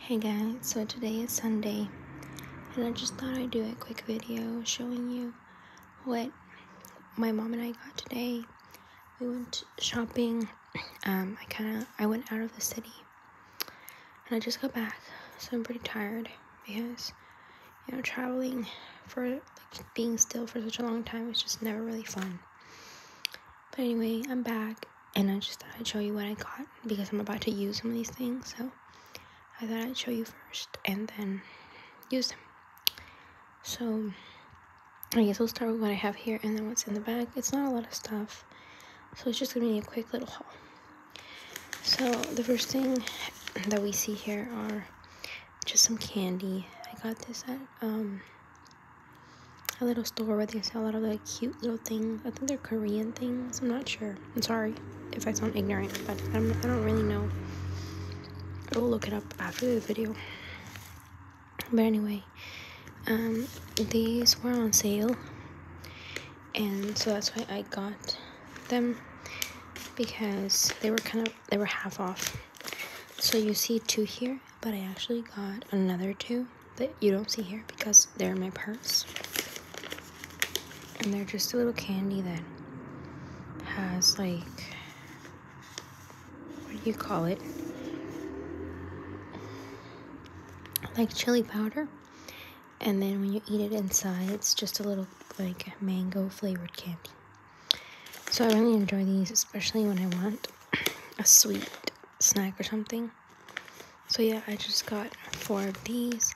Hey guys, so today is Sunday, and I just thought I'd do a quick video showing you what my mom and I got today. We went shopping. Um, I kind of I went out of the city, and I just got back, so I'm pretty tired because you know traveling for like being still for such a long time is just never really fun. But anyway, I'm back and I just thought I'd show you what I got because I'm about to use some of these things. So I thought I'd show you first and then use them. So I guess we'll start with what I have here and then what's in the bag. It's not a lot of stuff. So it's just going to be a quick little haul. So the first thing that we see here are just some candy. I got this at um, a little store where they sell a lot of like cute little things. I think they're Korean things. I'm not sure. I'm sorry if I sound ignorant, but i do not really know. I'll look it up after the video. But anyway, um, these were on sale, and so that's why I got them because they were kind of they were half off. So you see two here, but I actually got another two that you don't see here because they're in my purse. And they're just a little candy that has like, what do you call it? Like chili powder. And then when you eat it inside, it's just a little like mango flavored candy. So I really enjoy these, especially when I want a sweet snack or something. So yeah, I just got four of these.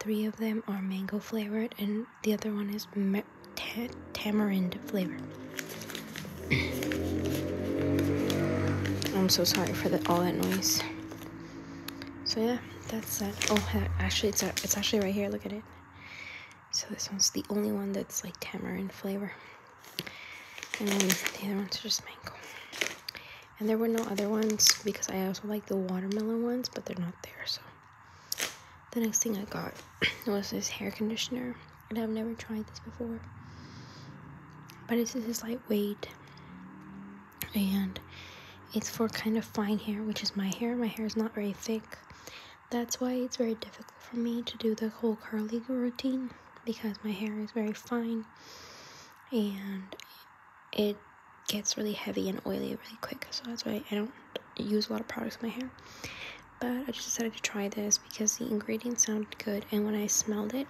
Three of them are mango flavored, and the other one is tamarind flavor. I'm so sorry for the, all that noise. So yeah, that's that. Oh, actually, it's it's actually right here. Look at it. So this one's the only one that's like tamarind flavor. And the other ones are just mango. And there were no other ones because I also like the watermelon ones, but they're not there, so. The next thing I got was this hair conditioner. And I've never tried this before. But it's this lightweight. And it's for kind of fine hair, which is my hair. My hair is not very thick. That's why it's very difficult for me to do the whole curly routine because my hair is very fine and it gets really heavy and oily really quick. So that's why I don't use a lot of products in my hair. But I just decided to try this because the ingredients sounded good and when I smelled it,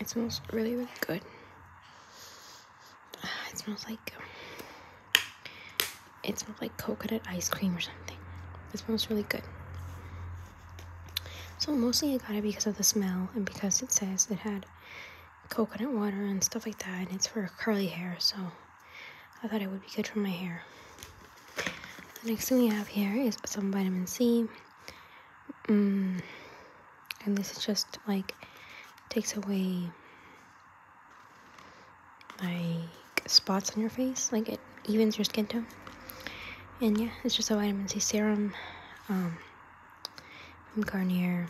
it smells really, really good. it smells like it smells like coconut ice cream or something. It smells really good. So mostly I got it because of the smell and because it says it had coconut water and stuff like that, and it's for curly hair. So I thought it would be good for my hair. The next thing we have here is some vitamin C. Um, and this is just like takes away like spots on your face like it evens your skin tone and yeah it's just a vitamin c serum um, from garnier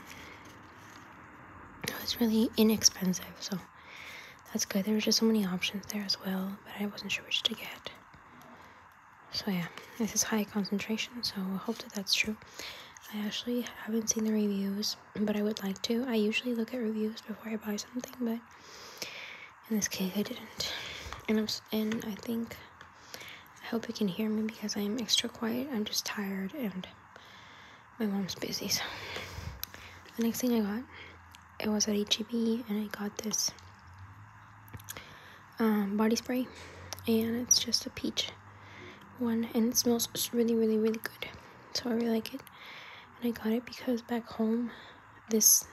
it's really inexpensive so that's good there were just so many options there as well but i wasn't sure which to get so yeah, this is high concentration, so I hope that that's true. I actually haven't seen the reviews, but I would like to. I usually look at reviews before I buy something, but in this case I didn't. And I'm and I think I hope you can hear me because I'm extra quiet. I'm just tired and my mom's busy. So the next thing I got, it was at HEB, and I got this um, body spray and it's just a peach one and it smells really really really good so I really like it and I got it because back home this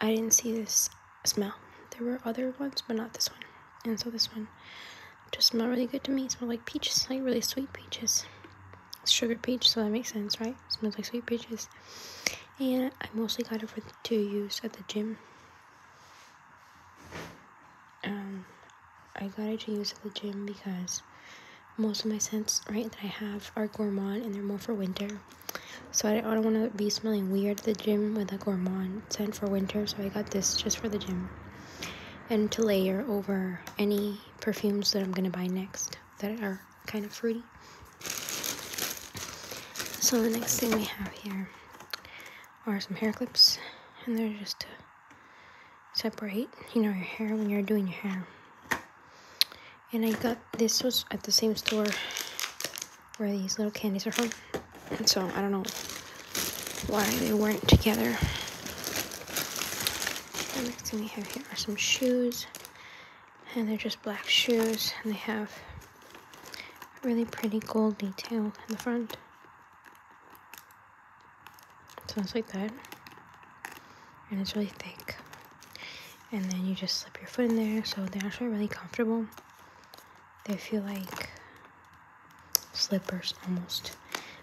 I didn't see this smell there were other ones but not this one and so this one just smelled really good to me it smelled like peaches like really sweet peaches it's sugar peach so that makes sense right it smells like sweet peaches and I mostly got it for to use at the gym. Um, I got it to use at the gym because most of my scents, right, that I have are gourmand and they're more for winter. So I don't want to be smelling weird at the gym with a gourmand scent for winter, so I got this just for the gym. And to layer over any perfumes that I'm going to buy next that are kind of fruity. So the next thing we have here are some hair clips, and they're just to separate, you know, your hair when you're doing your hair. And I got this was at the same store where these little candies are from, so I don't know why they weren't together. The next thing we have here are some shoes and they're just black shoes and they have really pretty gold detail in the front sounds like that and it's really thick and then you just slip your foot in there so they're actually really comfortable they feel like slippers almost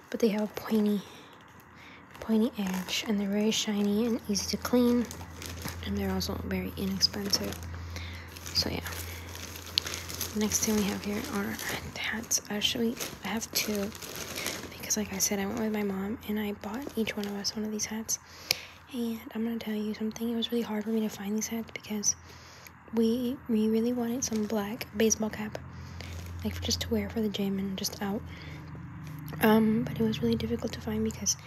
but they have a pointy pointy edge and they're very shiny and easy to clean and they're also very inexpensive so yeah next thing we have here are hats actually i have two because like i said i went with my mom and i bought each one of us one of these hats and i'm gonna tell you something it was really hard for me to find these hats because we we really wanted some black baseball cap, like just to wear for the gym and just out. Um, but it was really difficult to find because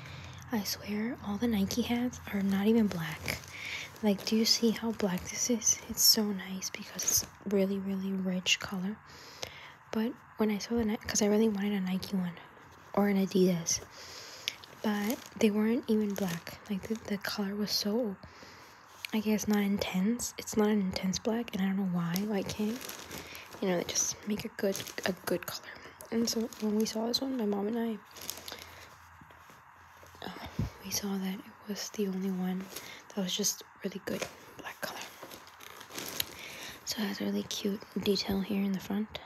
I swear all the Nike hats are not even black. Like, do you see how black this is? It's so nice because it's really, really rich color. But when I saw the Nike, because I really wanted a Nike one or an Adidas, but they weren't even black. Like, the, the color was so I guess not intense. It's not an intense black, and I don't know why. Why came, you know, they just make a good a good color. And so when we saw this one, my mom and I, uh, we saw that it was the only one that was just really good black color. So it has a really cute detail here in the front,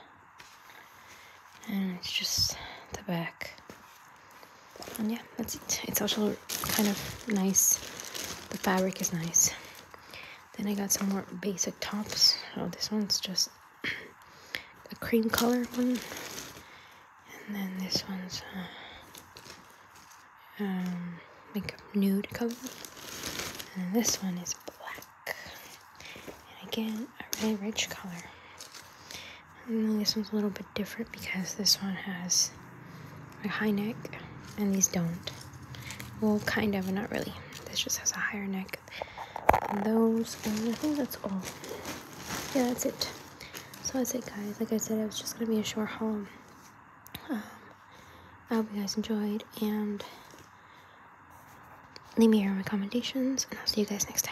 and it's just the back yeah, that's it. It's also kind of nice. The fabric is nice. Then I got some more basic tops. Oh, this one's just a cream color one. And then this one's uh, um, like a nude color. And this one is black. And again, a really rich color this one's a little bit different because this one has a high neck and these don't. Well, kind of, but not really. This just has a higher neck than those. And I think that's all. Yeah, that's it. So that's it, guys. Like I said, I was just going to be a short haul. Um, I hope you guys enjoyed. And leave me your recommendations. And I'll see you guys next time.